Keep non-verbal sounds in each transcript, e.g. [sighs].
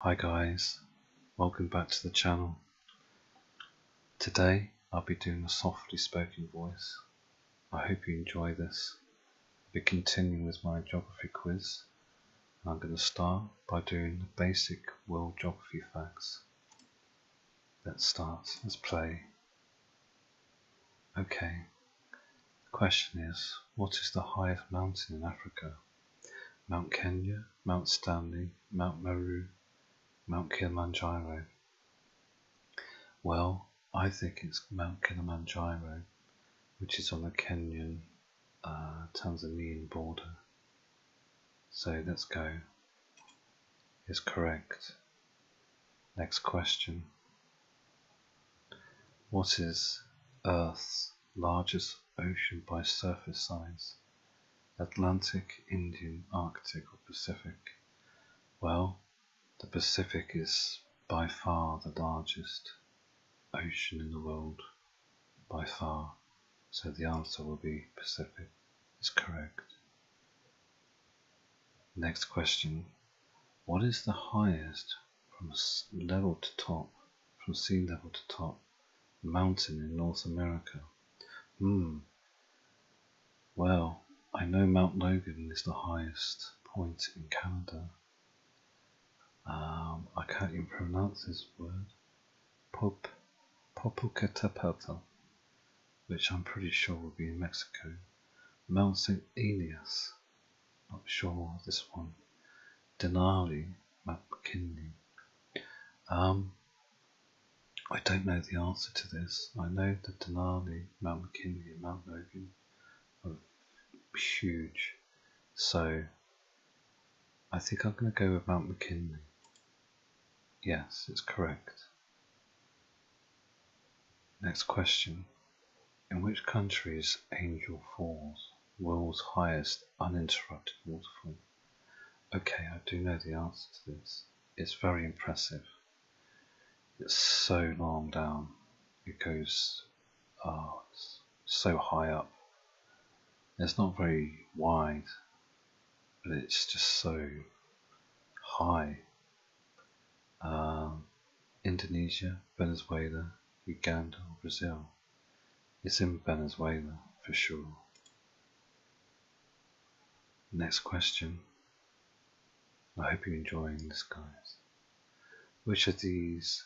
Hi guys, welcome back to the channel. Today I'll be doing a softly spoken voice. I hope you enjoy this. I'll be continuing with my geography quiz. And I'm going to start by doing the basic world geography facts. Let's start, let's play. Okay, the question is, what is the highest mountain in Africa? Mount Kenya, Mount Stanley, Mount Meru, Mount Kilimanjaro. Well, I think it's Mount Kilimanjaro, which is on the Kenyan uh, Tanzanian border. So let's go. Is correct. Next question. What is Earth's largest ocean by surface size Atlantic, Indian, Arctic, or Pacific? Well, the Pacific is by far the largest ocean in the world. By far. So the answer will be Pacific is correct. Next question. What is the highest from level to top, from sea level to top, mountain in North America. Hmm. Well, I know Mount Logan is the highest point in Canada. Um, I can't even pronounce this word. Pop, Popocatépetl, which I'm pretty sure will be in Mexico. Mount St. Elias, not sure this one. Denali, McKinney. Um, I don't know the answer to this. I know that Denali, Mount McKinley, and Mount Logan are huge, so I think I'm going to go with Mount McKinley. Yes, it's correct. Next question. In which country is Angel Falls? world's highest uninterrupted waterfall? Okay, I do know the answer to this. It's very impressive. It's so long down. It goes oh, so high up. It's not very wide, but it's just so high. Um, Indonesia, Venezuela, Uganda, Brazil. It's in Venezuela for sure. Next question. I hope you're enjoying this, guys. Which of these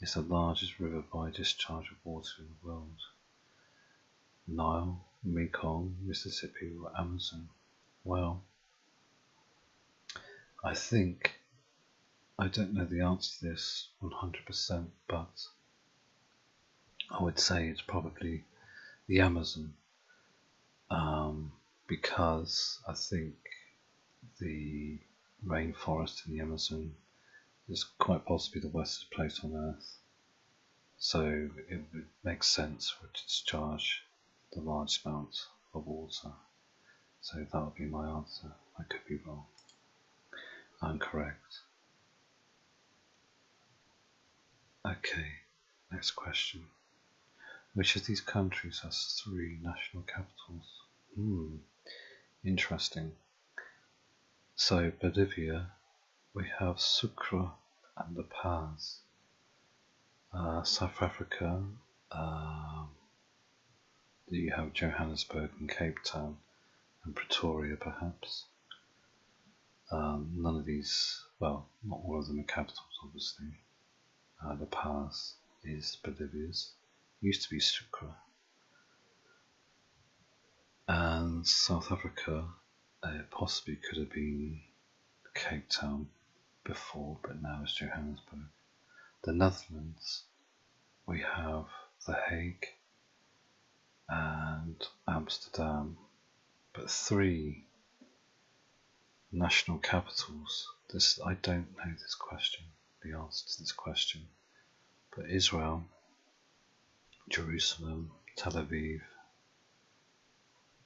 is the largest river by discharge of water in the world? Nile, Mekong, Mississippi, or Amazon? Well, I think I don't know the answer to this 100%, but I would say it's probably the Amazon um, because I think the rainforest in the Amazon is quite possibly the worst place on earth. So it would make sense for it to discharge the large amount of water so that would be my answer. I could be wrong. I'm correct. Okay, next question. Which of these countries has three national capitals? Hmm, interesting. So, Bolivia, we have Sucre and the Pass. Uh, South Africa, um, do you have Johannesburg and Cape Town and Pretoria, perhaps? Um, none of these, well, not all of them are capitals, obviously. Uh, the La is Bolivia's, used to be Sucre. And South Africa uh, possibly could have been Cape Town before, but now it's Johannesburg. The Netherlands we have The Hague and Amsterdam, but three national capitals. This I don't know this question, the answer to this question, but Israel, Jerusalem, Tel Aviv,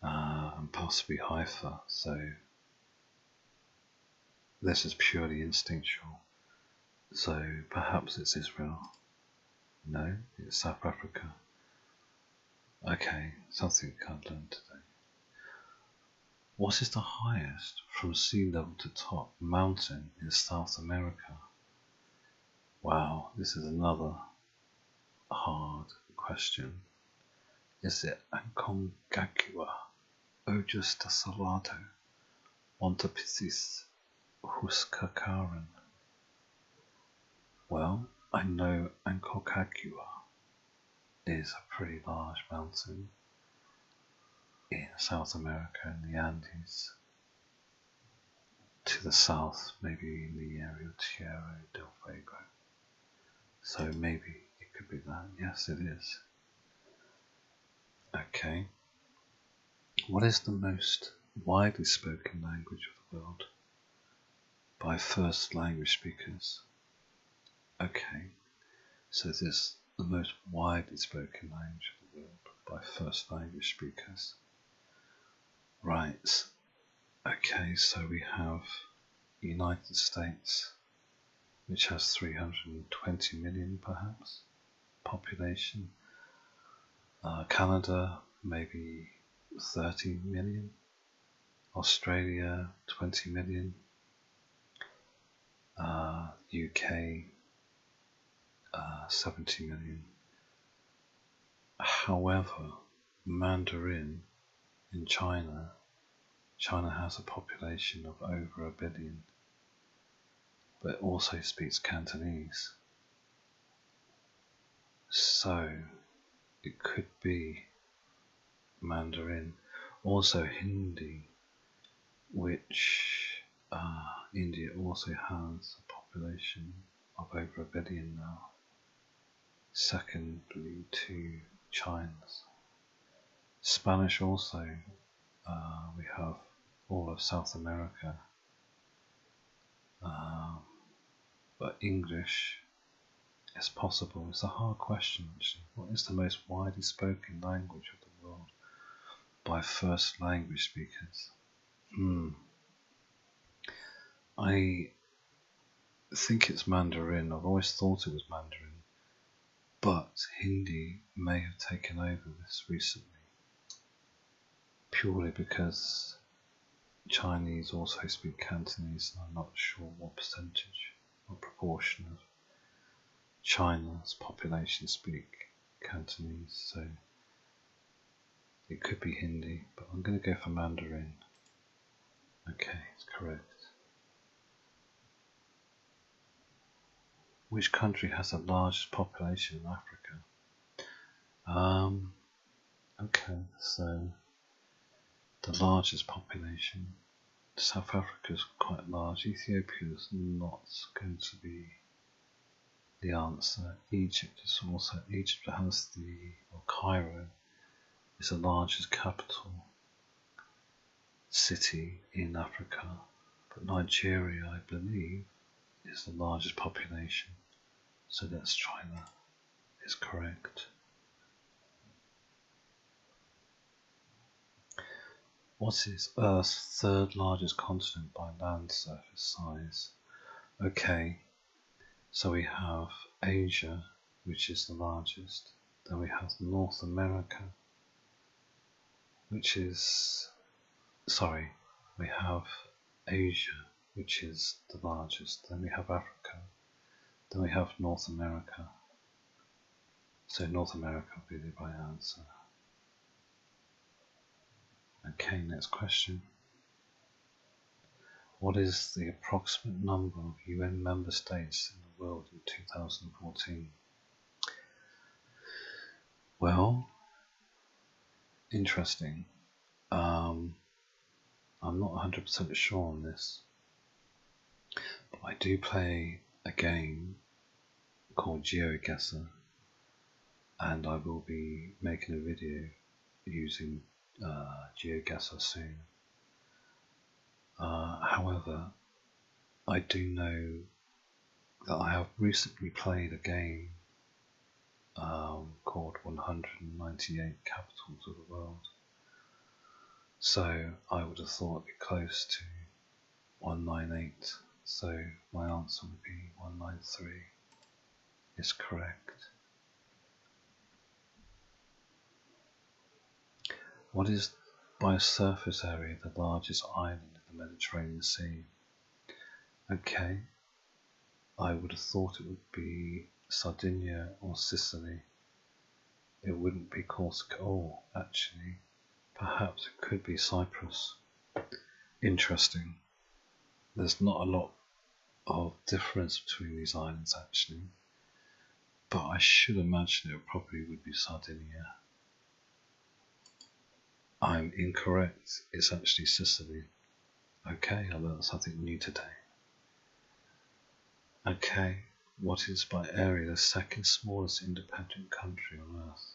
uh, and possibly Haifa. So this is purely instinctual. So perhaps it's Israel. No, it's South Africa. Okay, something we can't learn today. What is the highest from sea level to top mountain in South America? Wow, this is another hard question. Is it Aconcagua or just a Salado? Ontopsis huskakaran. Well, I know Ancocagua is a pretty large mountain in South America in the Andes. To the south, maybe in the area of Tierra del Fuego. So maybe it could be that. Yes, it is. Okay. What is the most widely spoken language of the world by first language speakers? Okay. So this the most widely spoken language of the world by first language speakers. Right. Okay, so we have United States which has 320 million perhaps population. Uh, Canada, maybe 30 million. Australia, 20 million. UK, uh, uh, 70 million. However, Mandarin in China, China has a population of over a billion but also speaks Cantonese. So it could be Mandarin, also Hindi, which uh, India also has a population of over a billion now, secondly to China's. Spanish also uh, we have all of South America. Um, but English is possible. It's a hard question, What is the most widely spoken language of the world by first language speakers? Hmm. I think it's Mandarin. I've always thought it was Mandarin, but Hindi may have taken over this recently purely because Chinese also speak Cantonese, and I'm not sure what percentage or proportion of China's population speak Cantonese, so it could be Hindi, but I'm going to go for Mandarin. Okay, it's correct. Which country has the largest population in Africa? Um, okay, so the largest population. South Africa is quite large. Ethiopia is not going to be the answer. Egypt is also Egypt has the or Cairo is the largest capital city in Africa, but Nigeria, I believe, is the largest population. So that's China. Is correct. What is Earth's third largest continent by land surface size? Okay, so we have Asia, which is the largest. Then we have North America, which is, sorry, we have Asia, which is the largest, then we have Africa, then we have North America. So North America will be the right answer. Okay, next question. What is the approximate number of UN member states in the world in 2014? Well, interesting. Um, I'm not 100% sure on this, but I do play a game called GeoGuessr, and I will be making a video using uh, GeoGuessr soon. Uh, however, I do know that I have recently played a game um, called 198 Capitals of the World. So I would have thought it close to 198. So my answer would be 193 is correct. What is by surface area the largest island the Mediterranean Sea. Okay, I would have thought it would be Sardinia or Sicily. It wouldn't be Corsica. Oh, actually, perhaps it could be Cyprus. Interesting. There's not a lot of difference between these islands, actually. But I should imagine it probably would be Sardinia. I'm incorrect. It's actually Sicily. Okay, I learned something new today. Okay, what is by area the second smallest independent country on earth?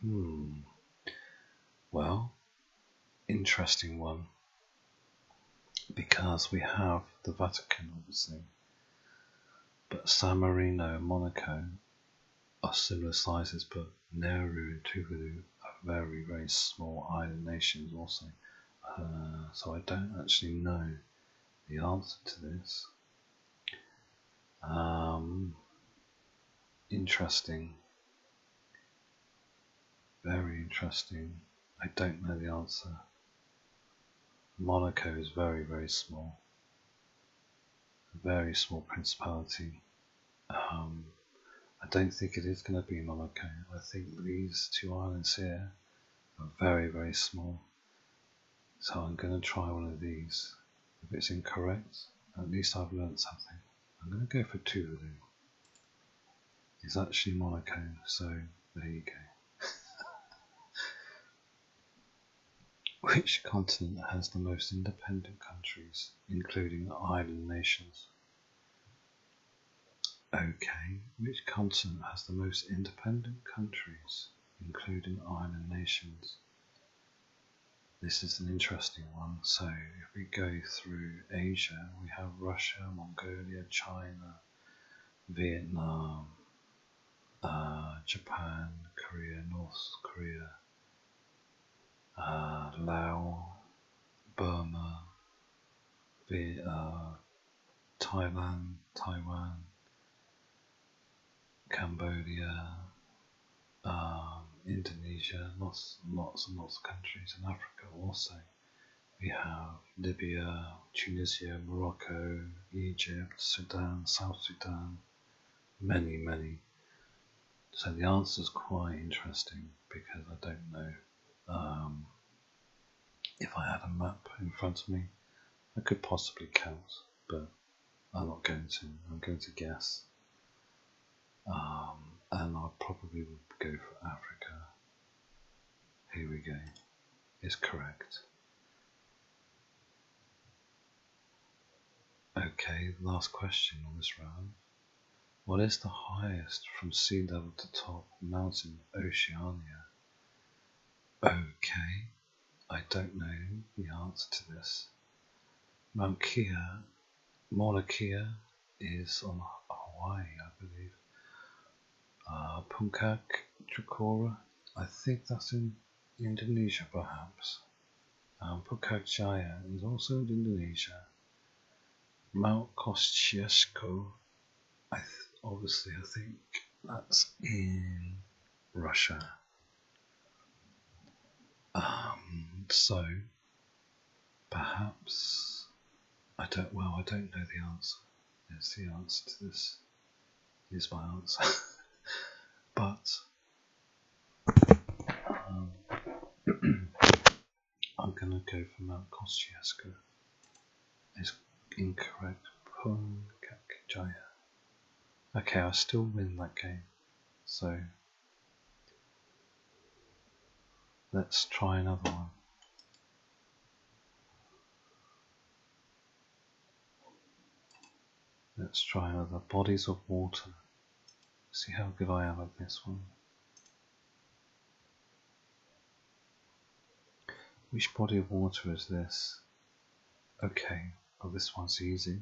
Hmm. Well, interesting one. Because we have the Vatican, obviously. But San Marino and Monaco are similar sizes, but Nauru and Tuvalu are very, very small island nations also. Uh, so I don't actually know the answer to this. Um, interesting. Very interesting. I don't know the answer. Monaco is very, very small very small principality. Um, I don't think it is going to be Monaco. I think these two islands here are very, very small. So I'm going to try one of these. If it's incorrect, at least I've learned something. I'm going to go for Tuvalu. It's actually Monaco, so there you go. [laughs] Which continent has the most independent countries, including island nations? Okay, which continent has the most independent countries, including island nations? This is an interesting one. So, if we go through Asia, we have Russia, Mongolia, China, Vietnam, uh, Japan, Korea, North Korea, uh, Laos, Burma, the, uh, Thailand, Taiwan, Cambodia, um, Indonesia, lots, lots and lots of countries in Africa also. We have Libya, Tunisia, Morocco, Egypt, Sudan, South Sudan, many, many. So the answer is quite interesting because I don't know um, if I had a map in front of me. I could possibly count, but I'm not going to. I'm going to guess. Um, and I probably would go for Africa. Here we go. Is correct. Okay, last question on this round. What is the highest from sea level to top mountain in Oceania? Okay, I don't know the answer to this. Mount Kia, Mauna Kea is on Hawaii, I believe. Uh, Punkak Chakora, I think that's in Indonesia perhaps. Um, Pukak is also in Indonesia. Mount Kosciuszko, obviously I think that's in Russia. Um, so perhaps I don't. Well, I don't know the answer. There's the answer to this is my answer. [laughs] but um, [clears throat] I'm gonna go for Mount Kosciuszko. It's incorrect. Punkakjaya. Okay, I still win that game. So let's try another one. Let's try another. Bodies of water. See how good I am at this one. Which body of water is this? Okay, well this one's easy.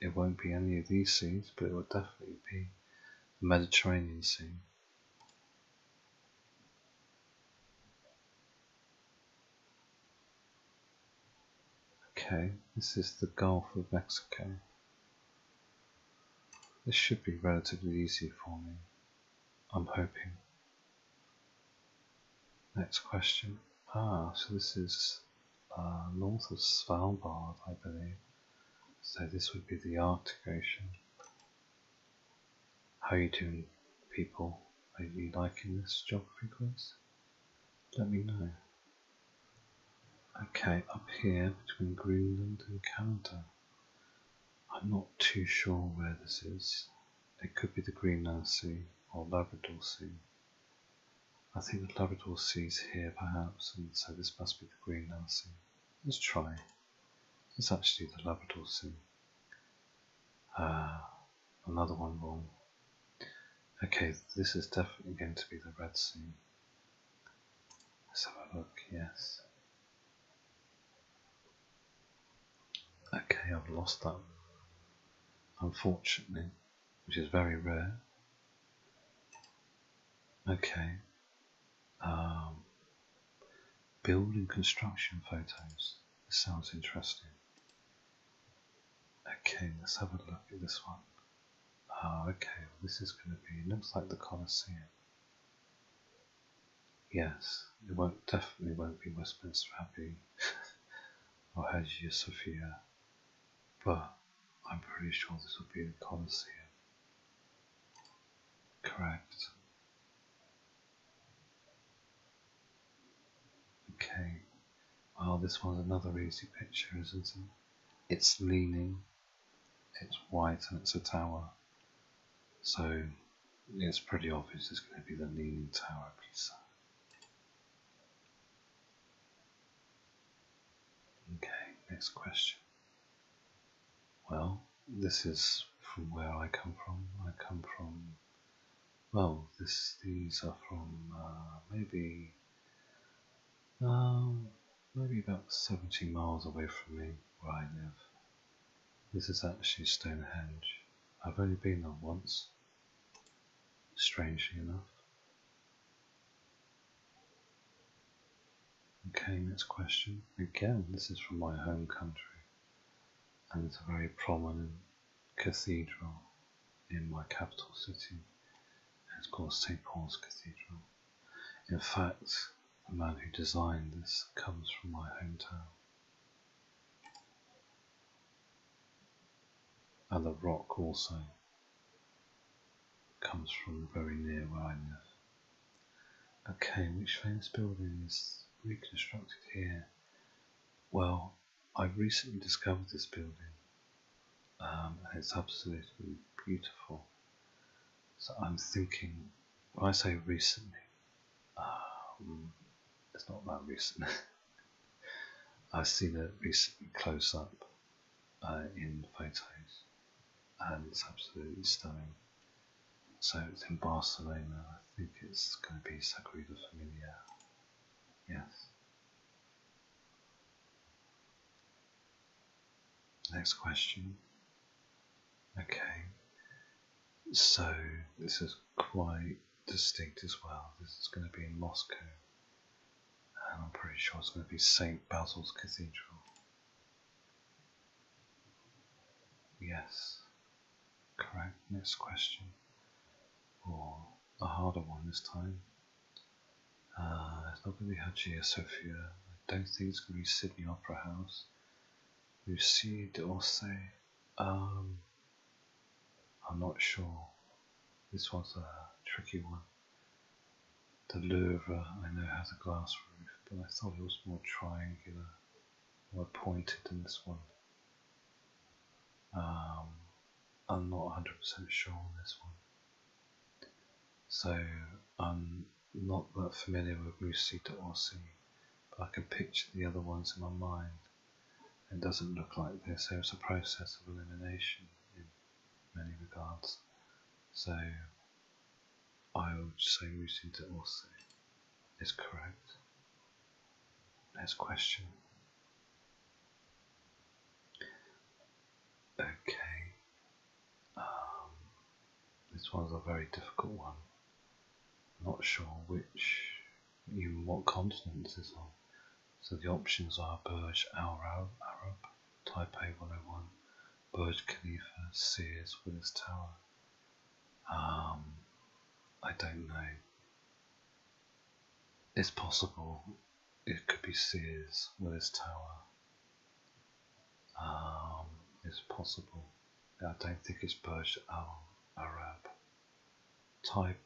It won't be any of these seas, but it will definitely be the Mediterranean Sea. Okay, this is the Gulf of Mexico. This should be relatively easy for me, I'm hoping. Next question. Ah, so this is uh, north of Svalbard, I believe. So this would be the Arctic Ocean. How are you doing, people? Are you liking this geography quiz? let me know. Okay, up here between Greenland and Canada. I'm not too sure where this is. It could be the Greenland Sea or Labrador Sea. I think the Labrador Sea is here perhaps, and so this must be the Greenland Sea. Let's try. It's actually the Labrador Sea. Uh, another one wrong. Okay, this is definitely going to be the red scene. Let's have a look, yes. Okay, I've lost that, unfortunately, which is very rare. Okay. Um, building construction photos. This sounds interesting. Okay, let's have a look at this one. Ah, okay, well, this is going to be, looks like the Colosseum. Yes, it won't definitely won't be Westminster Abbey [laughs] or Hagia Sophia, but I'm pretty sure this will be the Colosseum. Correct. Okay, well, this one's another easy picture, isn't it? It's leaning, it's white, and it's a tower. So it's pretty obvious it's going to be the Leaning Tower of Pisa. Okay, next question. Well, this is from where I come from. I come from well, this, these are from uh, maybe um, maybe about 70 miles away from me where I live. This is actually Stonehenge. I've only been there once, strangely enough. Okay, next question. Again, this is from my home country, and it's a very prominent cathedral in my capital city. It's called St. Paul's Cathedral. In fact, the man who designed this comes from my hometown. And the rock also comes from very near where I live. Okay, which famous building is reconstructed here? Well, i recently discovered this building, um, and it's absolutely beautiful. So I'm thinking, when I say recently, um, it's not that recent. [laughs] I've seen it recently close up uh, in photos, and it's absolutely stunning. So it's in Barcelona. I think it's going to be Sagrada Familia Yes. Next question. Okay. So this is quite distinct as well. This is going to be in Moscow. And I'm pretty sure it's going to be St. Basil's Cathedral. Yes, Correct. Next question. Or a harder one this time. Uh, it's not going to be Hagia Sophia. I don't think it's going to be Sydney Opera House. You see d'Orsay. Um, I'm not sure. This was a tricky one. The Louvre, I know, has a glass roof, but I thought it was more triangular, more pointed than this one. Um, I'm not 100% sure on this one. So I'm not that familiar with Musita Orsi, but I can picture the other ones in my mind. It doesn't look like this, so it's a process of elimination in many regards. So I would say Musita Orsi is correct. Next question. Okay. Um, this one's a very difficult one. I'm not sure which, even what continent this is on. So the options are Burj Al Arab, Taipei 101, Burj Khalifa, Sears with tower. Um, I don't know. It's possible it could be Sears with its tower. Um, it's possible. I don't think it's Burj Al Arab. Type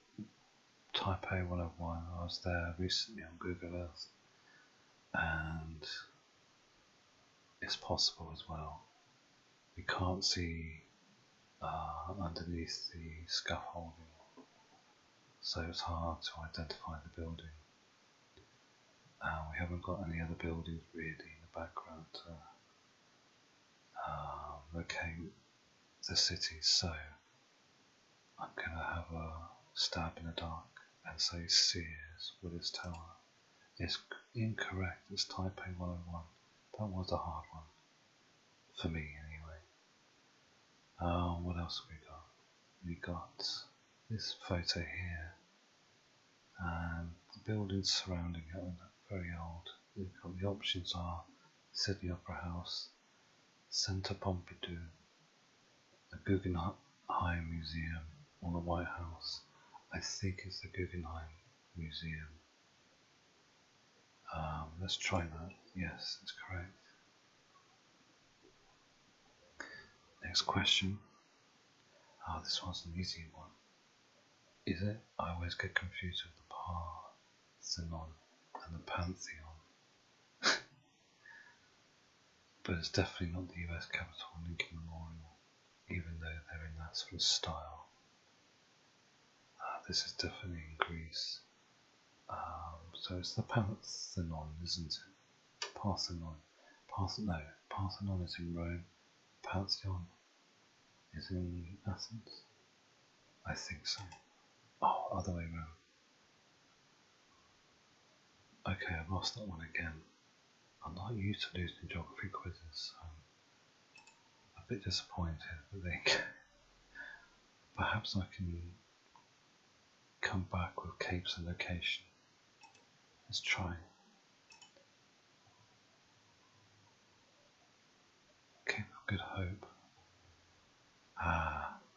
Taipei 101. I was there recently on Google Earth, and it's possible as well we can't see uh, underneath the scaffolding, so it's hard to identify the building. we haven't got any other buildings really in the background to uh, locate the city, so I'm going to have a stab in the dark and say Sears Willis Tower It's incorrect, it's Taipei 101. That was a hard one. For me, anyway. Uh, what else we got? We got this photo here, and um, the buildings surrounding it very old. You've got the options are City Opera House, Centre Pompidou, the Guggenheim Museum, or the White House. I think it's the Guggenheim Museum. Um, let's try that. Yes, that's correct. Next question. oh, this one's an easy one. Is it? I always get confused with the Parthenon and the Pantheon. [laughs] but it's definitely not the US Capitol and Lincoln Memorial, even though they're in that sort of style. Ah, this is definitely in Greece. Um, so it's the Parthenon, isn't it? Parthenon. Parthenon. No, Parthenon is in Rome. Pantheon is in Athens. I think so. Oh, other way around. Okay, I've lost that one again. I'm not used to losing geography quizzes a bit disappointed, but think. [laughs] Perhaps I can come back with capes and location. Let's try. Cape Good Hope. Ah. [laughs]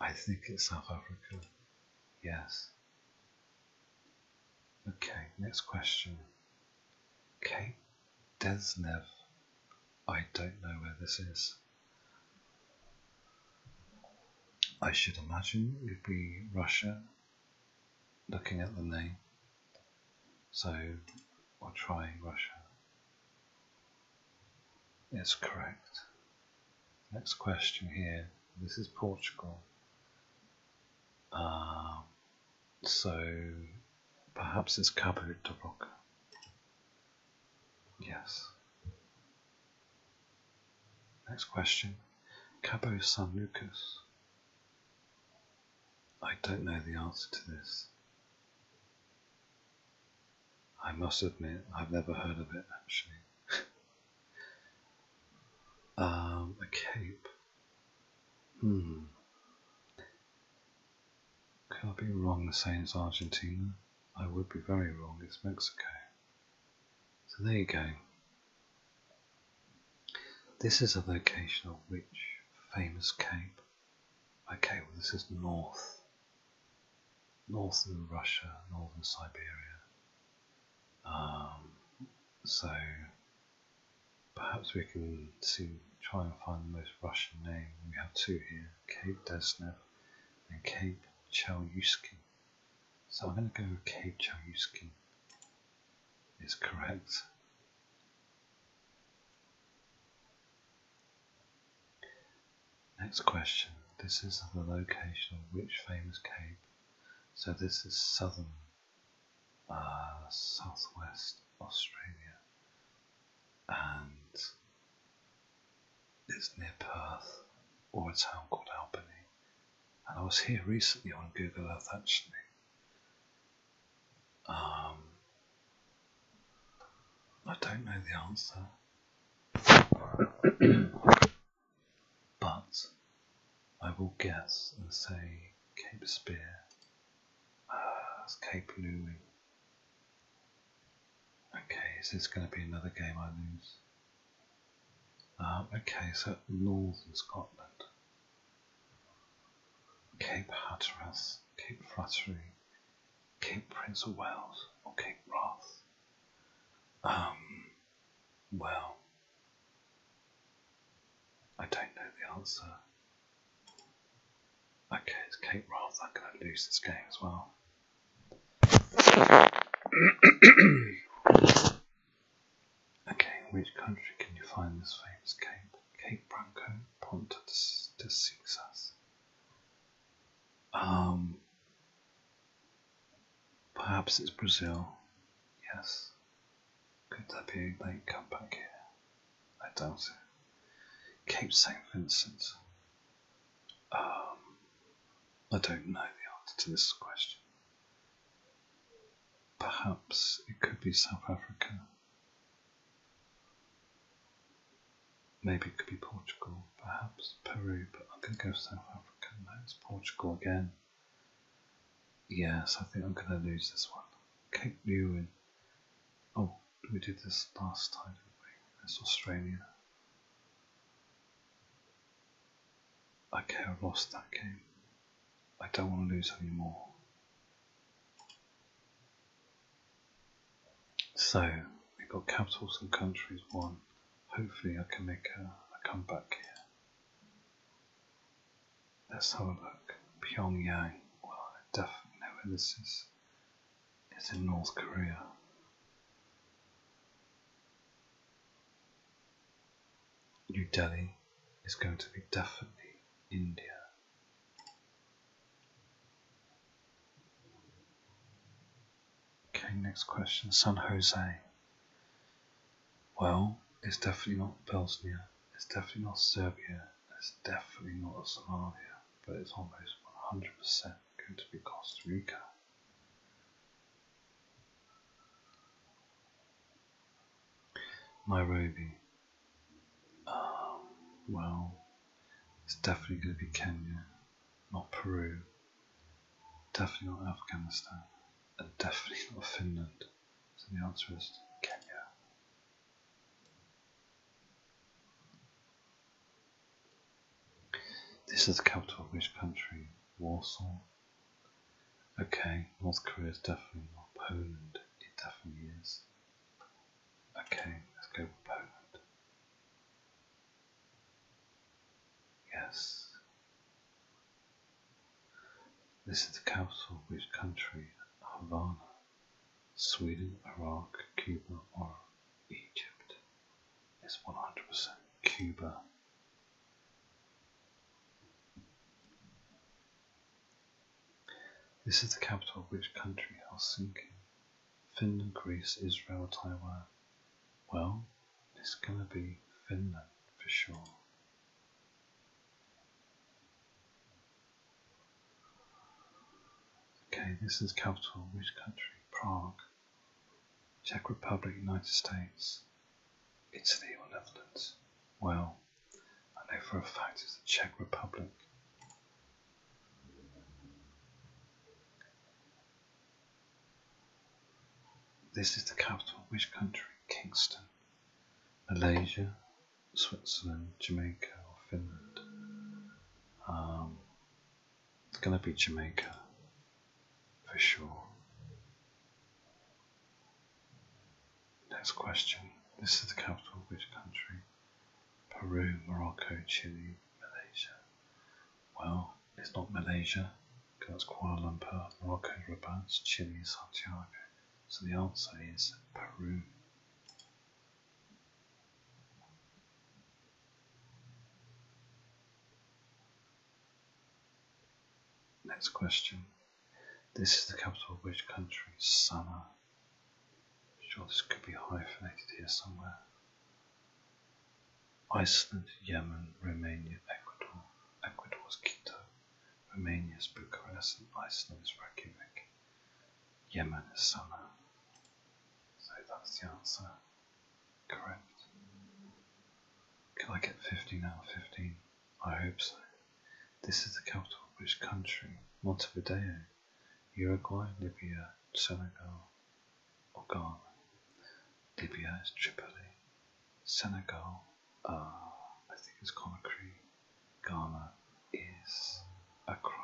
I think it's South Africa. Yes. Okay, next question. Kate Desnev. I don't know where this is. I should imagine it would be Russia looking at the name. So I'll try Russia. It's correct. Next question here. This is Portugal. Um, so perhaps it's Cabo de Roca. Yes. Next question. Cabo San Lucas. I don't know the answer to this. I must admit, I've never heard of it actually. [laughs] um, a cape. Hmm. Could I be wrong in saying it's Argentina? I would be very wrong, it's Mexico. So there you go. This is a location of which famous cape? Okay, well, this is north. Northern Russia, northern Siberia. Um, so Perhaps we can try and find the most Russian name. We have two here, Cape Desnev and Cape Chelyuskin. So I'm going to go with Cape Chelyuskin is correct. Next question. This is the location of which famous cape? So this is southern uh, southwest Australia, and it's near Perth or a town called Albany. And I was here recently on Google Earth actually. Um, I don't know the answer, [coughs] but I will guess and say Cape Spear. Ah, it's Cape Louis. Okay, is this going to be another game I lose. Um, okay, so northern Scotland. Cape Hatteras, Cape Flattery, Cape Prince of Wales, or Cape Wrath. Um, well, I don't know the answer. Okay, it's Kate Roth. I'm going to lose this game as well. [coughs] okay, which country can you find this famous cape? Cape Branco Ponta de Success. Um, perhaps it's Brazil. Yes, could there be a late comeback here? I doubt it. Cape St. Vincent? Um, I don't know the answer to this question. Perhaps it could be South Africa. Maybe it could be Portugal, perhaps Peru, but I'm going to go South Africa. No, it's Portugal again. Yes, I think I'm gonna lose this one. Cape Newman. Oh, we did this last time, didn't we? That's Australia. Okay, I lost that game. I don't want to lose anymore. So, we've got capitals and countries won. Hopefully I can make a comeback here. Let's have a look. Pyongyang. Well, I definitely know where this is. It's in North Korea. New Delhi is going to be definitely India. Okay, next question San Jose. Well, it's definitely not Bosnia, it's definitely not Serbia, it's definitely not Somalia, but it's almost 100% going to be Costa Rica. Nairobi. Um, well, it's definitely going to be Kenya, not Peru, definitely not Afghanistan, and definitely not Finland. So the answer is Kenya. This is the capital of which country? Warsaw. Okay, North Korea is definitely not Poland. It definitely is. Okay, let's go with Poland. Yes. This is the capital of which country Havana, Sweden, Iraq, Cuba or Egypt It's 100% Cuba. This is the capital of which country Helsinki, Finland, Greece, Israel, Taiwan. Well, it's gonna be Finland for sure. Okay, this is capital which country? Prague. Czech Republic, United States, Italy or Netherlands? Well, I know for a fact it's the Czech Republic. This is the capital which country? Kingston. Malaysia, Switzerland, Jamaica, or Finland. Um, it's going to be Jamaica for sure. Next question. This is the capital of which country? Peru, Morocco, Chile, Malaysia. Well, it's not Malaysia, because that's Kuala Lumpur, Morocco, Rabat, Chile, Santiago. So the answer is Peru. Next question. This is the capital of which country? Summer. sure this could be hyphenated here somewhere. Iceland, Yemen, Romania, Ecuador. Ecuador's Quito. Romania is Bucharest, and Iceland is Reykjavik. Yemen is Sana'a. So that's the answer. Correct. Can I get 15 now. 15? I hope so. This is the capital of which country? Montevideo, Uruguay, Libya, Senegal, or Ghana? Libya is Tripoli, Senegal uh, I think it's Conakry, Ghana is Accra,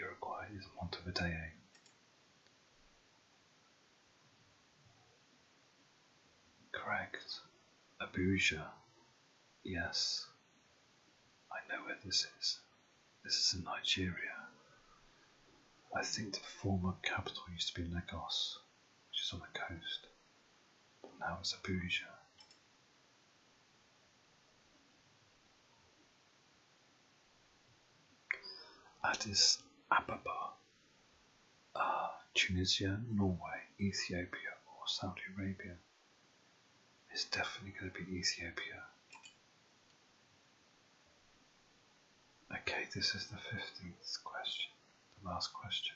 Uruguay is Montevideo. Eh? Correct. Abuja. Yes. I know where this is. This is in Nigeria. I think the former capital used to be Lagos which is on the coast, but now it's Abuja. Addis Ababa are ah, Tunisia, Norway, Ethiopia, or Saudi Arabia. It's definitely going to be Ethiopia. Okay, this is the 15th question, the last question.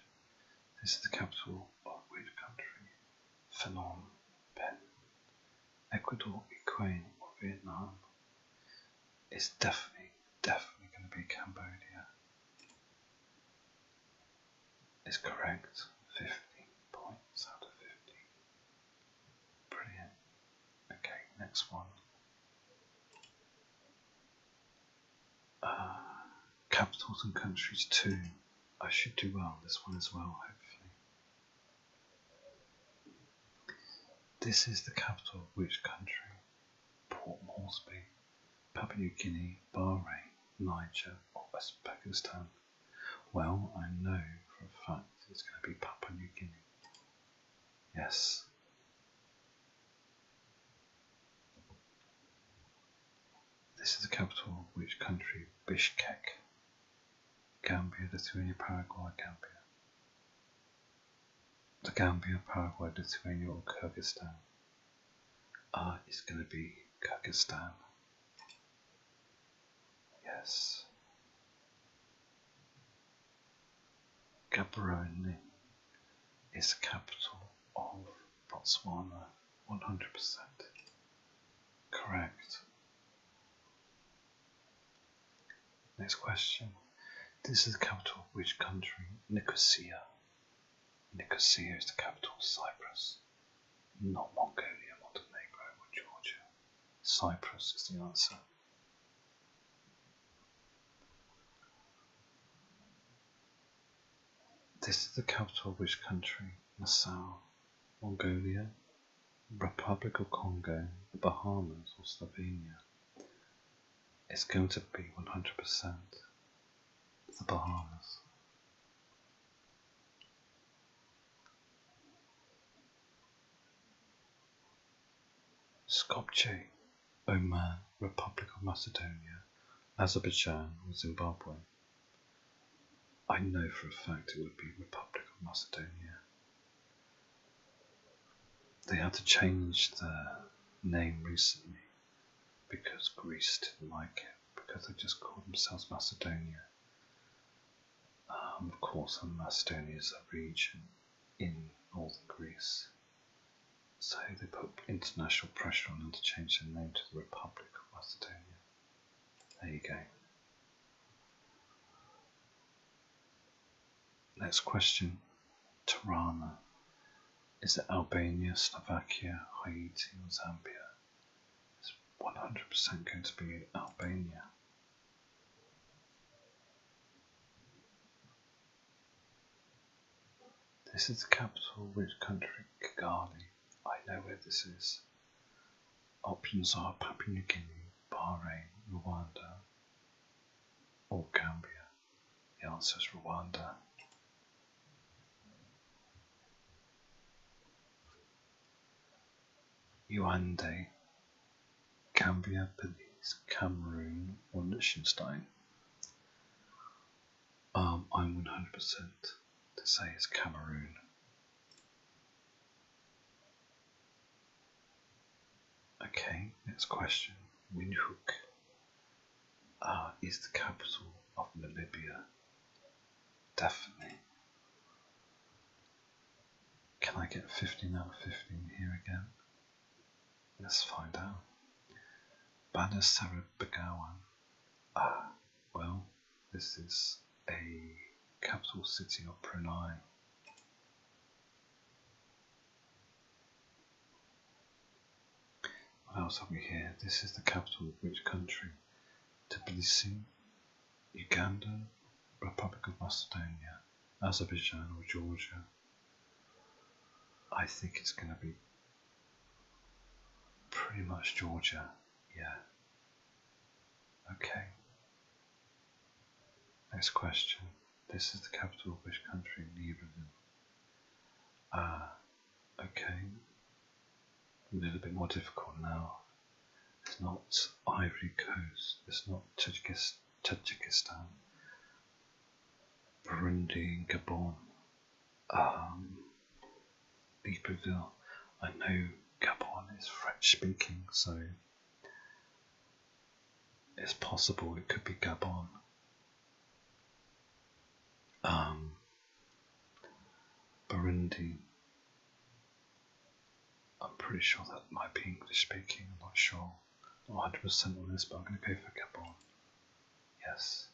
This is the capital of which country? Phnom Penh. Ecuador, Ukraine, or Vietnam? It's definitely, definitely going to be Cambodia. Is correct. Fifteen points out of fifteen. Brilliant. Okay, next one. Uh, capitals and countries too. I should do well this one as well, hopefully. This is the capital of which country? Port Moresby, Papua New Guinea, Bahrain, Niger, or Uzbekistan? Well, I know for a fact it's going to be Papua New Guinea. Yes, this is the capital of which country? Bishkek, Gambia, the Lithuania, Paraguay, Gambia. The Gambia, Paraguay, Lithuania, or Kyrgyzstan. Ah, it's going to be Kyrgyzstan. Yes. Gaborone is the capital of Botswana 100% correct. Next question. This is the capital of which country? Nicosia. Nicosia is the capital of Cyprus, not Mongolia, Montenegro, or Georgia. Cyprus is the answer. This is the capital of which country? Nassau, Mongolia, Republic of Congo, the Bahamas, or Slovenia? It's going to be 100% the Bahamas. Skopje Oman, Republic of Macedonia, Azerbaijan, or Zimbabwe? I know for a fact it would be Republic of Macedonia. They had to change their name recently because Greece didn't like it, because they just called themselves Macedonia. Um, of course, Macedonia is a region in northern Greece. So they put international pressure on them to change their name to the Republic of Macedonia. There you go. Next question Tirana. Is it Albania, Slovakia, Haiti, or Zambia? It's 100% going to be Albania. This is the capital of which country, Kigali. I know where this is. Options are Papua New Guinea, Bahrain, Rwanda, or Gambia. The answer is Rwanda. Uande, Gambia, Belize, Cameroon, or Liechtenstein. Um, I'm 100% to say it's Cameroon. Okay, next question. Windhoek uh, is the capital of Namibia. Definitely. Can I get 15 out of 15 here again? Let's find out. Banisarabagawan. Ah, well, this is a capital city of Brunei. What else have we here? This is the capital of which country? Tbilisi, Uganda, Republic of Macedonia, Azerbaijan or Georgia. I think it's going to be pretty much Georgia. Yeah. Okay. Next question. This is the capital of which country? Libreville. Ah, okay. A little bit more difficult now. It's not Ivory Coast. It's not Tajikistan. Burundi and Gabon. Um, I know Gabon is French speaking, so it's possible it could be Gabon. Um, Burundi. I'm pretty sure that might be English speaking, I'm not sure. 100% on this, but I'm going to go for Gabon. Yes.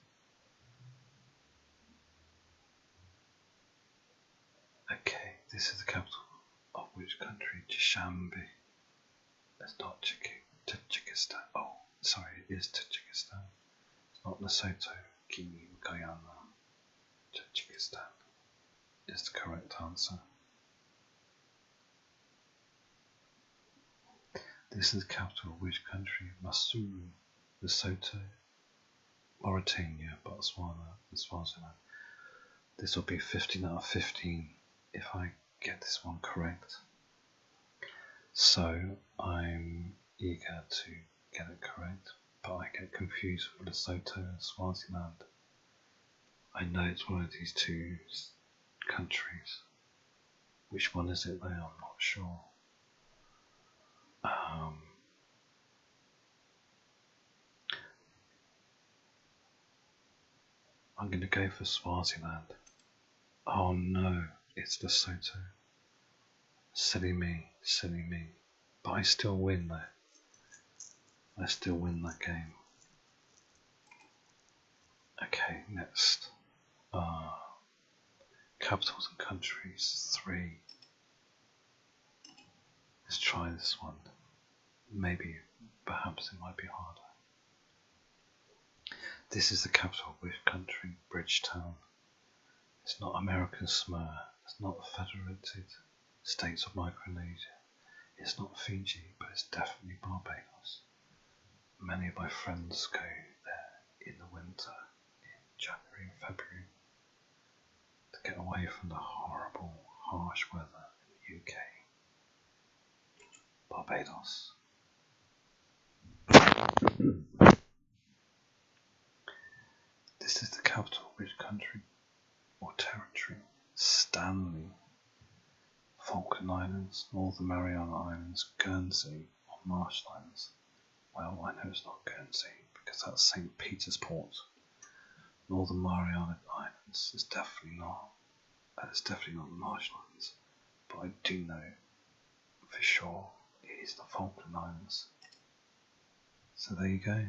Okay, this is the capital of which country? Dushanbe. That's not Tajikistan. Oh, sorry, it is Tajikistan. It's not Lesotho, Guinea, Guyana. Tajikistan is the correct answer. This is the capital of which country? Masuru, Lesotho, Mauritania, Botswana, and Swaziland. This will be 15 out of 15 if I get this one correct. So I'm eager to get it correct, but I get confused with Lesotho and Swaziland. I know it's one of these two countries. Which one is it Though I'm not sure. Um, I'm going to go for Swaziland. Oh no, it's the Lesotho. Silly me, silly me. But I still win though. I still win that game. Okay, next. Ah, capitals and countries. Three. Let's try this one. Maybe, perhaps it might be harder. This is the capital of which country? Bridgetown. It's not American Samoa. It's not the Federated States of Micronesia. It's not Fiji, but it's definitely Barbados many of my friends go there in the winter, in January and February, to get away from the horrible, harsh weather in the UK. Barbados. This is the capital of which country or territory? Stanley Falkland Islands, Northern Mariana Islands, Guernsey, or Marshlands. Well, I know it's not Guernsey because that's St. Peter's Port. Northern Mariana Islands is definitely not. It's definitely not marshlands, but I do know for sure it is the Falkland Islands. So there you go,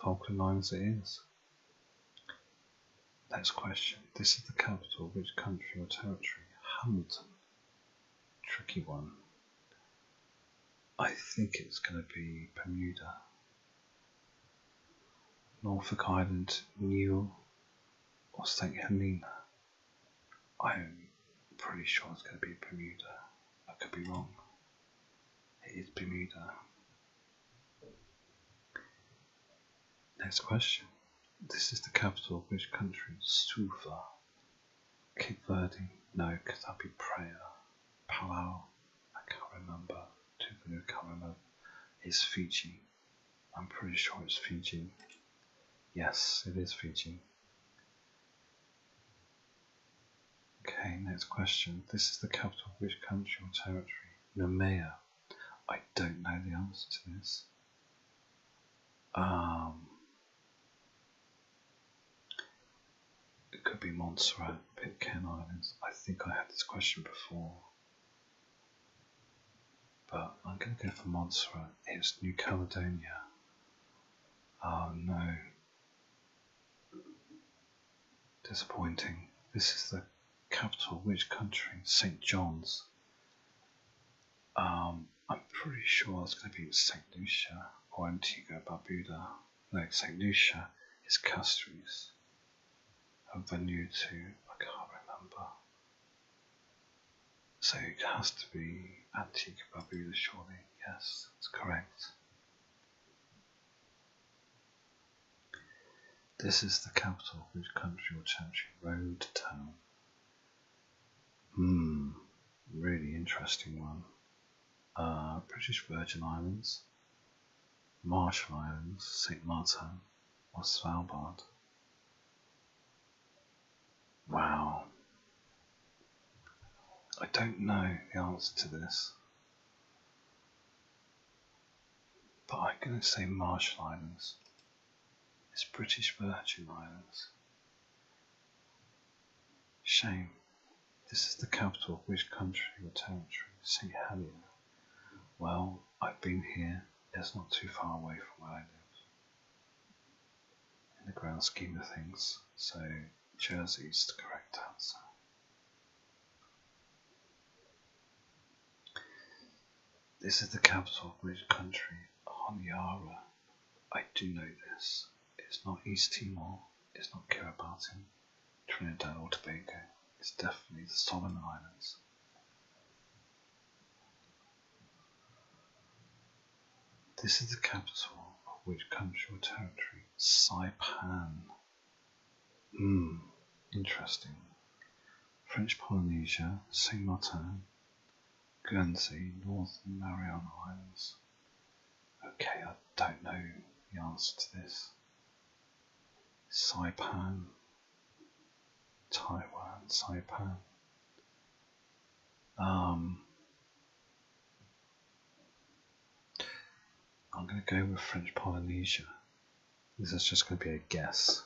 Falkland Islands it is. Next question. This is the capital of which country or territory? Hamilton. Tricky one. I think it's going to be Bermuda. Norfolk Island, Newell, or St. Helena. I'm pretty sure it's going to be Bermuda. I could be wrong. It is Bermuda. Next question. This is the capital of which country? Suva. Cape No, because that'd be Praia. Palau? I can't remember. Tuvalu? I Is Fiji. I'm pretty sure it's Fiji. Yes, it is Fiji. Okay, next question. This is the capital of which country or territory? Nemea. I don't know the answer to this. Um, it could be Montserrat, Pitcairn Islands. I think I had this question before. But I'm going to go for Montserrat. It's New Caledonia. Oh no. Disappointing. This is the capital of which country? St. John's. Um, I'm pretty sure it's going to be St. Lucia or Antigua Barbuda. No, St. Lucia is Castries. And Vanuatu, I can't remember. So it has to be Antigua Barbuda, surely. Yes, that's correct. This is the capital of which country or territory road town? Hmm, really interesting one. Uh, British Virgin Islands, Marshall Islands, St. Martin, or Svalbard? Wow. I don't know the answer to this. But I'm going to say Marshall Islands. It's British Virgin Islands. Shame, this is the capital of which country or territory, St. Helier. Well, I've been here, it's not too far away from where I live. In the grand scheme of things, so Jersey is the correct answer. This is the capital of which country? Honiara. I do know this. It's not East Timor. It's not Kiribati, Trinidad or Tobago. It's definitely the Solomon Islands. This is the capital of which country or territory? Saipan. Hmm, interesting. French Polynesia, Saint Martin, Guernsey, North Mariana Islands. Okay, I don't know the answer to this. Saipan, Taiwan, Saipan. Um, I'm going to go with French Polynesia. This is just going to be a guess.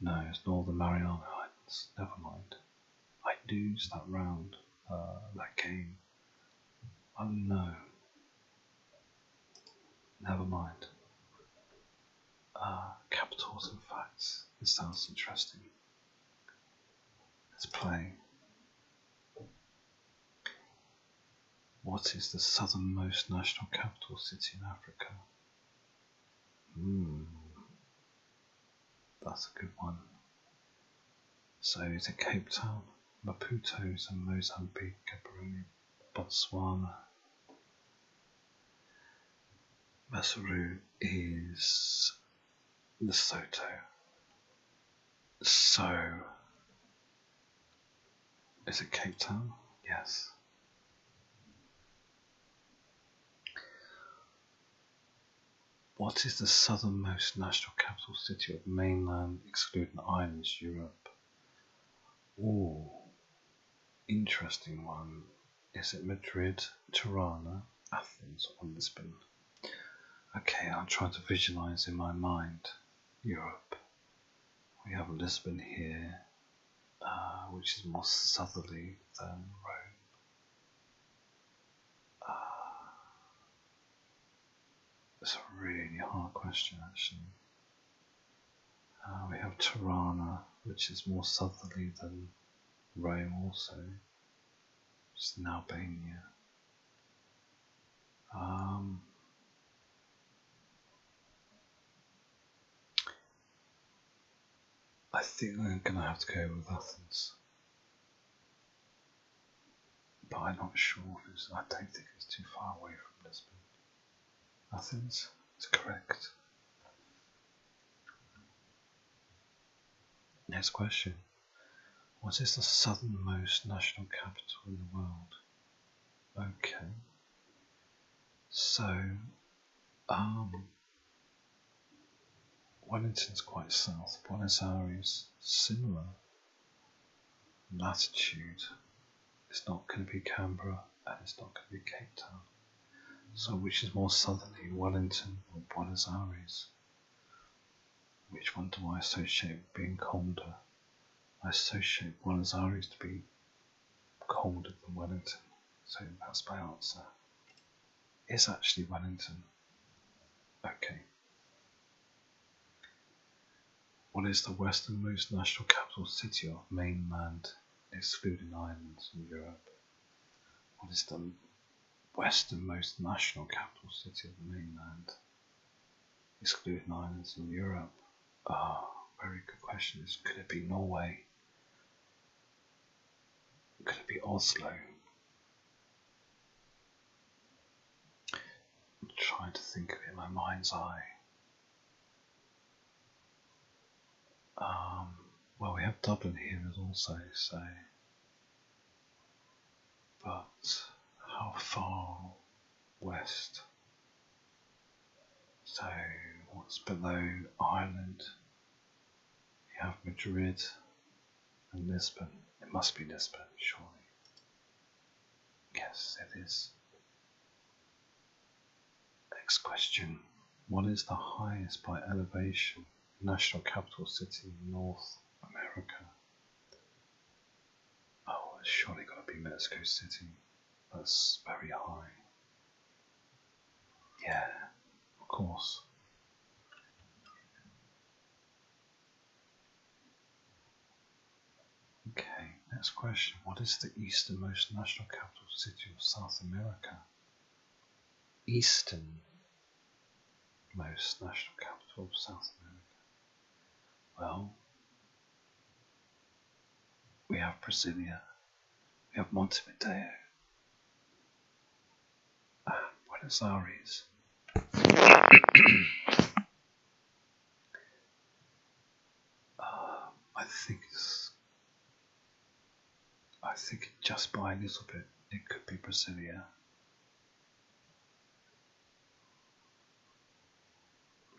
No, it's Northern Mariana Islands. Never mind. I lose that round, uh, that game. Oh no. Never mind. Uh, capitals and facts. This sounds interesting. Let's play. What is the southernmost national capital city in Africa? Hmm. that's a good one. So it's a Cape Town, Maputo some Mozambique, Gaborone, Botswana. Maseru is Lesotho. So is it Cape Town? Yes. What is the southernmost national capital city of mainland, excluding islands, Europe? Oh, interesting one. Is it Madrid, Tirana, Athens, or Lisbon? Okay, I'll try to visualize in my mind Europe. We have Lisbon here, uh, which is more southerly than Rome. It's uh, a really hard question, actually. Uh, we have Tirana, which is more southerly than Rome, also, It's in Albania. Um, I think I'm going to have to go with Athens. But I'm not sure. I don't think it's too far away from Lisbon. Athens is correct. Next question. What is the southernmost national capital in the world? Okay. So, um, Wellington's quite south, Buenos Aires, similar latitude. It's not going to be Canberra and it's not going to be Cape Town. So, which is more southerly, Wellington or Buenos Aires? Which one do I associate with being colder? I associate Buenos Aires to be colder than Wellington, so that's my answer. Is actually Wellington. Okay. What is the westernmost national capital city of mainland, excluding islands in Europe? What is the westernmost national capital city of the mainland, excluding islands in Europe? Ah, very good question is could it be Norway? Could it be Oslo? I'm trying to think of it in my mind's eye. Um, well, we have Dublin here as also, so. But how far west? So, what's below Ireland? You have Madrid and Lisbon. It must be Lisbon, surely. Yes, it is. Next question. What is the highest by elevation national capital city in North America? Oh, it's surely got to be Mexico City that's very high. Yeah, of course. Okay, next question. What is the easternmost national capital city of South America? Easternmost national capital of South America. Well, we have Brasilia, we have Montevideo, and ah, Buenos Aires. [coughs] Ah, I think I think just by a little bit, it could be Brasilia.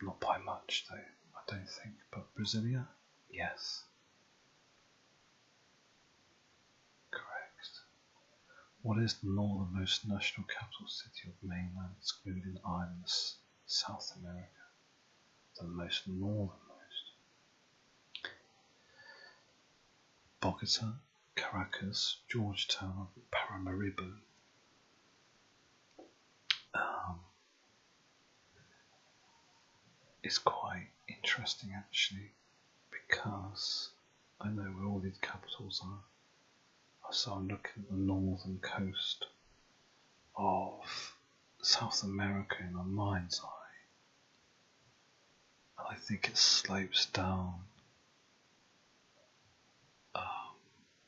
Not by much, though, I don't think, but Brasilia? Yes. Correct. What is the northernmost national capital city of mainland, excluding islands, South America? The most northernmost. Bogota, Caracas, Georgetown, Paramaribo. Um, it's quite interesting actually because I know where all these capitals are. So I'm looking at the northern coast of South America in my mind's eye. And I think it slopes down um,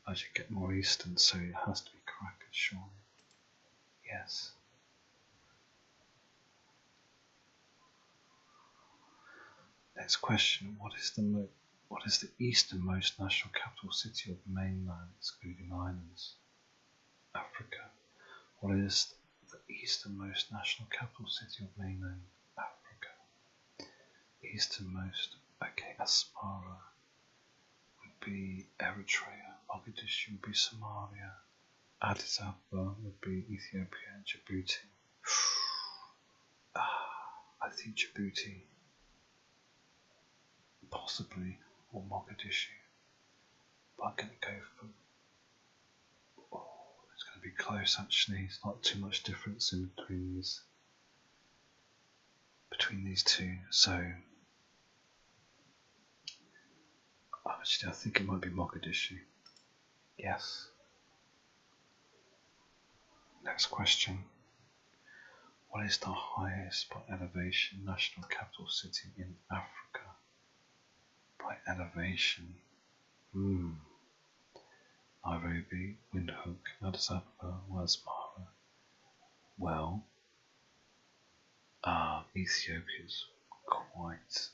as you get more eastern, so it has to be correct, surely. Yes. Next question: What is the what is the easternmost national capital city of mainland, excluding islands? Africa. What is the easternmost national capital city of mainland Africa? Easternmost. Okay, Asmara would be Eritrea, Mogadishu would be Somalia, Addis Ababa would be Ethiopia, and Djibouti. [sighs] ah, I think Djibouti, possibly, or Mogadishu. But I'm going to go for. Oh, it's going to be close actually, it's not too much difference in between these between these two. So actually, I think it might be Mogadishu. Yes. Next question. What is the highest by elevation national capital city in Africa? By elevation. Hmm. Nairobi, Windhoek, Addis Ababa, Wasmara. Well, uh, Ethiopia is quite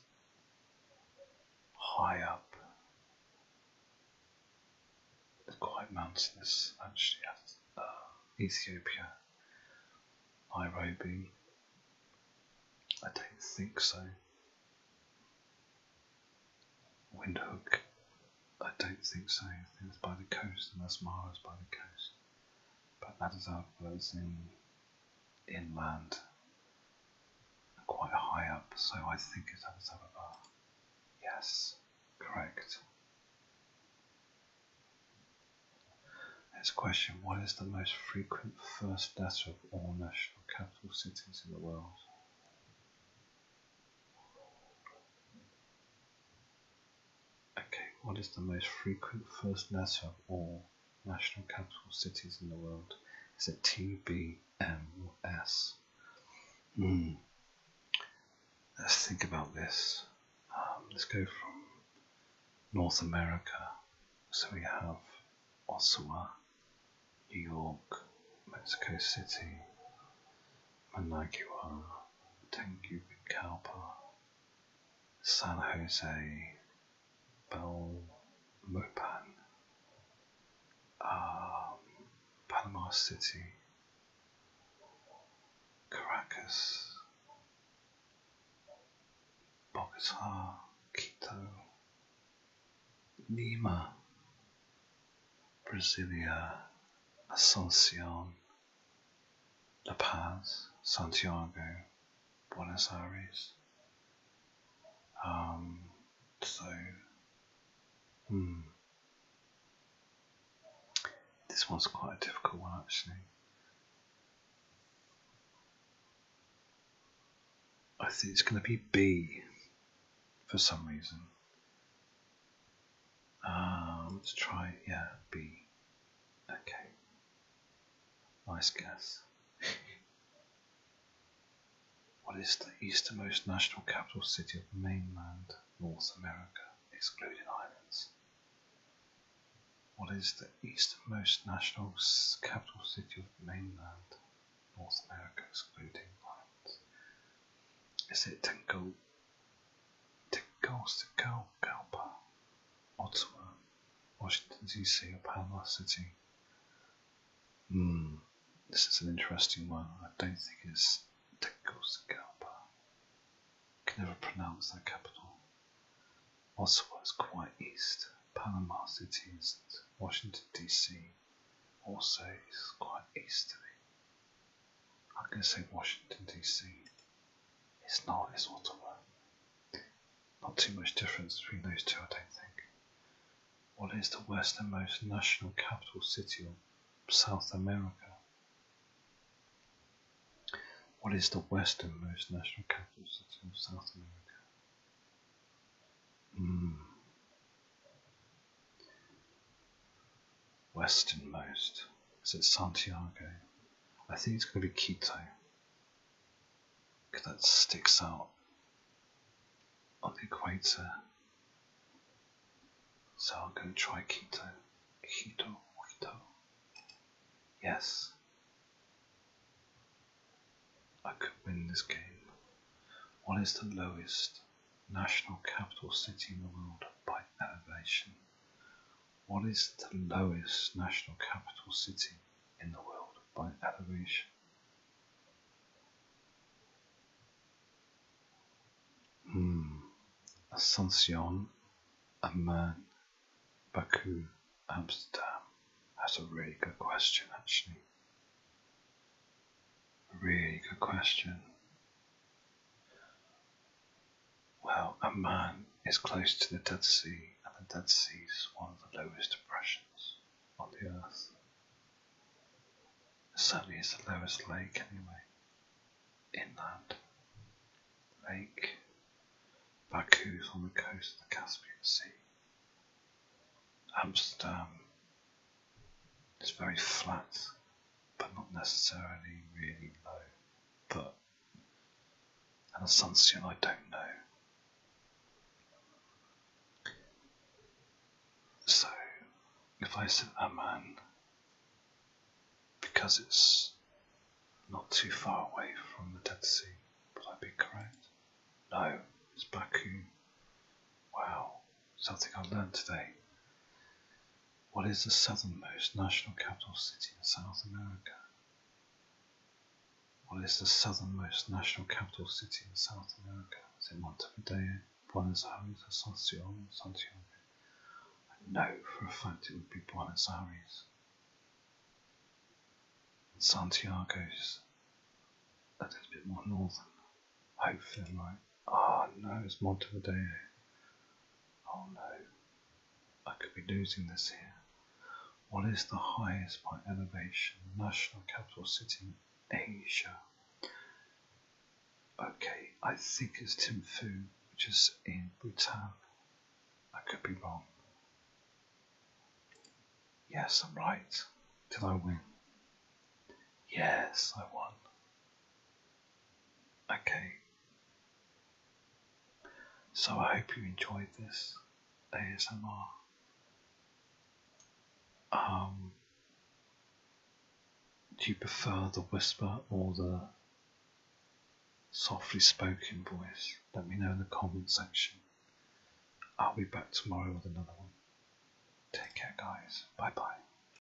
high up. It's quite mountainous, actually. Uh, Ethiopia, Nairobi. I don't think so. Windhoek, I don't think so. it's by the coast, and that's Mara's by the coast. But that is is in inland, quite high up, so I think it's Addis Ababa. Yes, correct. Next question What is the most frequent first letter of all national capital cities in the world? Okay, what is the most frequent first letter of all national capital cities in the world? Is it T, B, M, or S? Hmm. Let's think about this. Um, let's go from North America. So we have Ottawa, New York, Mexico City, Managua. Tegucigalpa, San Jose, Belmopan, um, Panama City, Caracas, Bogota, Quito, Lima, Brasilia, Asuncion. La Paz, Santiago, Buenos Aires. Um, so, hmm. This one's quite a difficult one actually. I think it's going to be B for some reason. Uh, let's try, yeah, B. Okay. Nice guess. [laughs] what is the easternmost national capital city of mainland North America, excluding islands? What is the easternmost national capital city of mainland North America, excluding islands? Is it Tenko Tegucigalpa, Ottawa, Washington D.C., or Panama City. Hmm, this is an interesting one. I don't think it's Tegucigalpa. I can never pronounce that capital. Ottawa is quite east. Panama City is Washington D.C. Also is quite east of it. I'm going to say Washington DC. It's not, it's Ottawa. Not too much difference between those two, I don't think. What is the westernmost national capital city of South America? What is the westernmost national capital city of South America? Mm. Westernmost. Is it Santiago? I think it's going to be Quito. Because that sticks out on the equator. So i am going to try Quito. Quito, Quito. Yes. I could win this game. What is the lowest? national capital city in the world by elevation. What is the lowest national capital city in the world by elevation? Hmm. Asuncion, Amman, Baku, Amsterdam. That's a really good question, actually. A really good question. Well, Amman is close to the Dead Sea, and the Dead Sea is one of the lowest depressions on the earth. It certainly, it's the lowest lake anyway. Inland lake. Baku's on the coast of the Caspian Sea. Amsterdam it's very flat, but not necessarily really low. But an sunset, I don't know. So, if I said that man, because it's not too far away from the Dead Sea, would I be correct? No, it's Baku. Wow, something I learned today. What is the southernmost national capital city in South America? What is the southernmost national capital city in South America? Is it Montevideo, Buenos Aires, Asunción, Santiago? I know for a fact it would be Buenos Aires. And Santiago's a bit more northern i feel like Oh no, it's Montevideo. Oh no, I could be losing this here. What is the highest by elevation national capital city in Asia? Okay, I think it's Thimphu, which is in Bhutan. I could be wrong. Yes, I'm right. Did I win? Yes, I won. Okay. So I hope you enjoyed this ASMR. Um, do you prefer the whisper or the softly spoken voice? Let me know in the comment section. I'll be back tomorrow with another one. Take care, guys. Bye bye.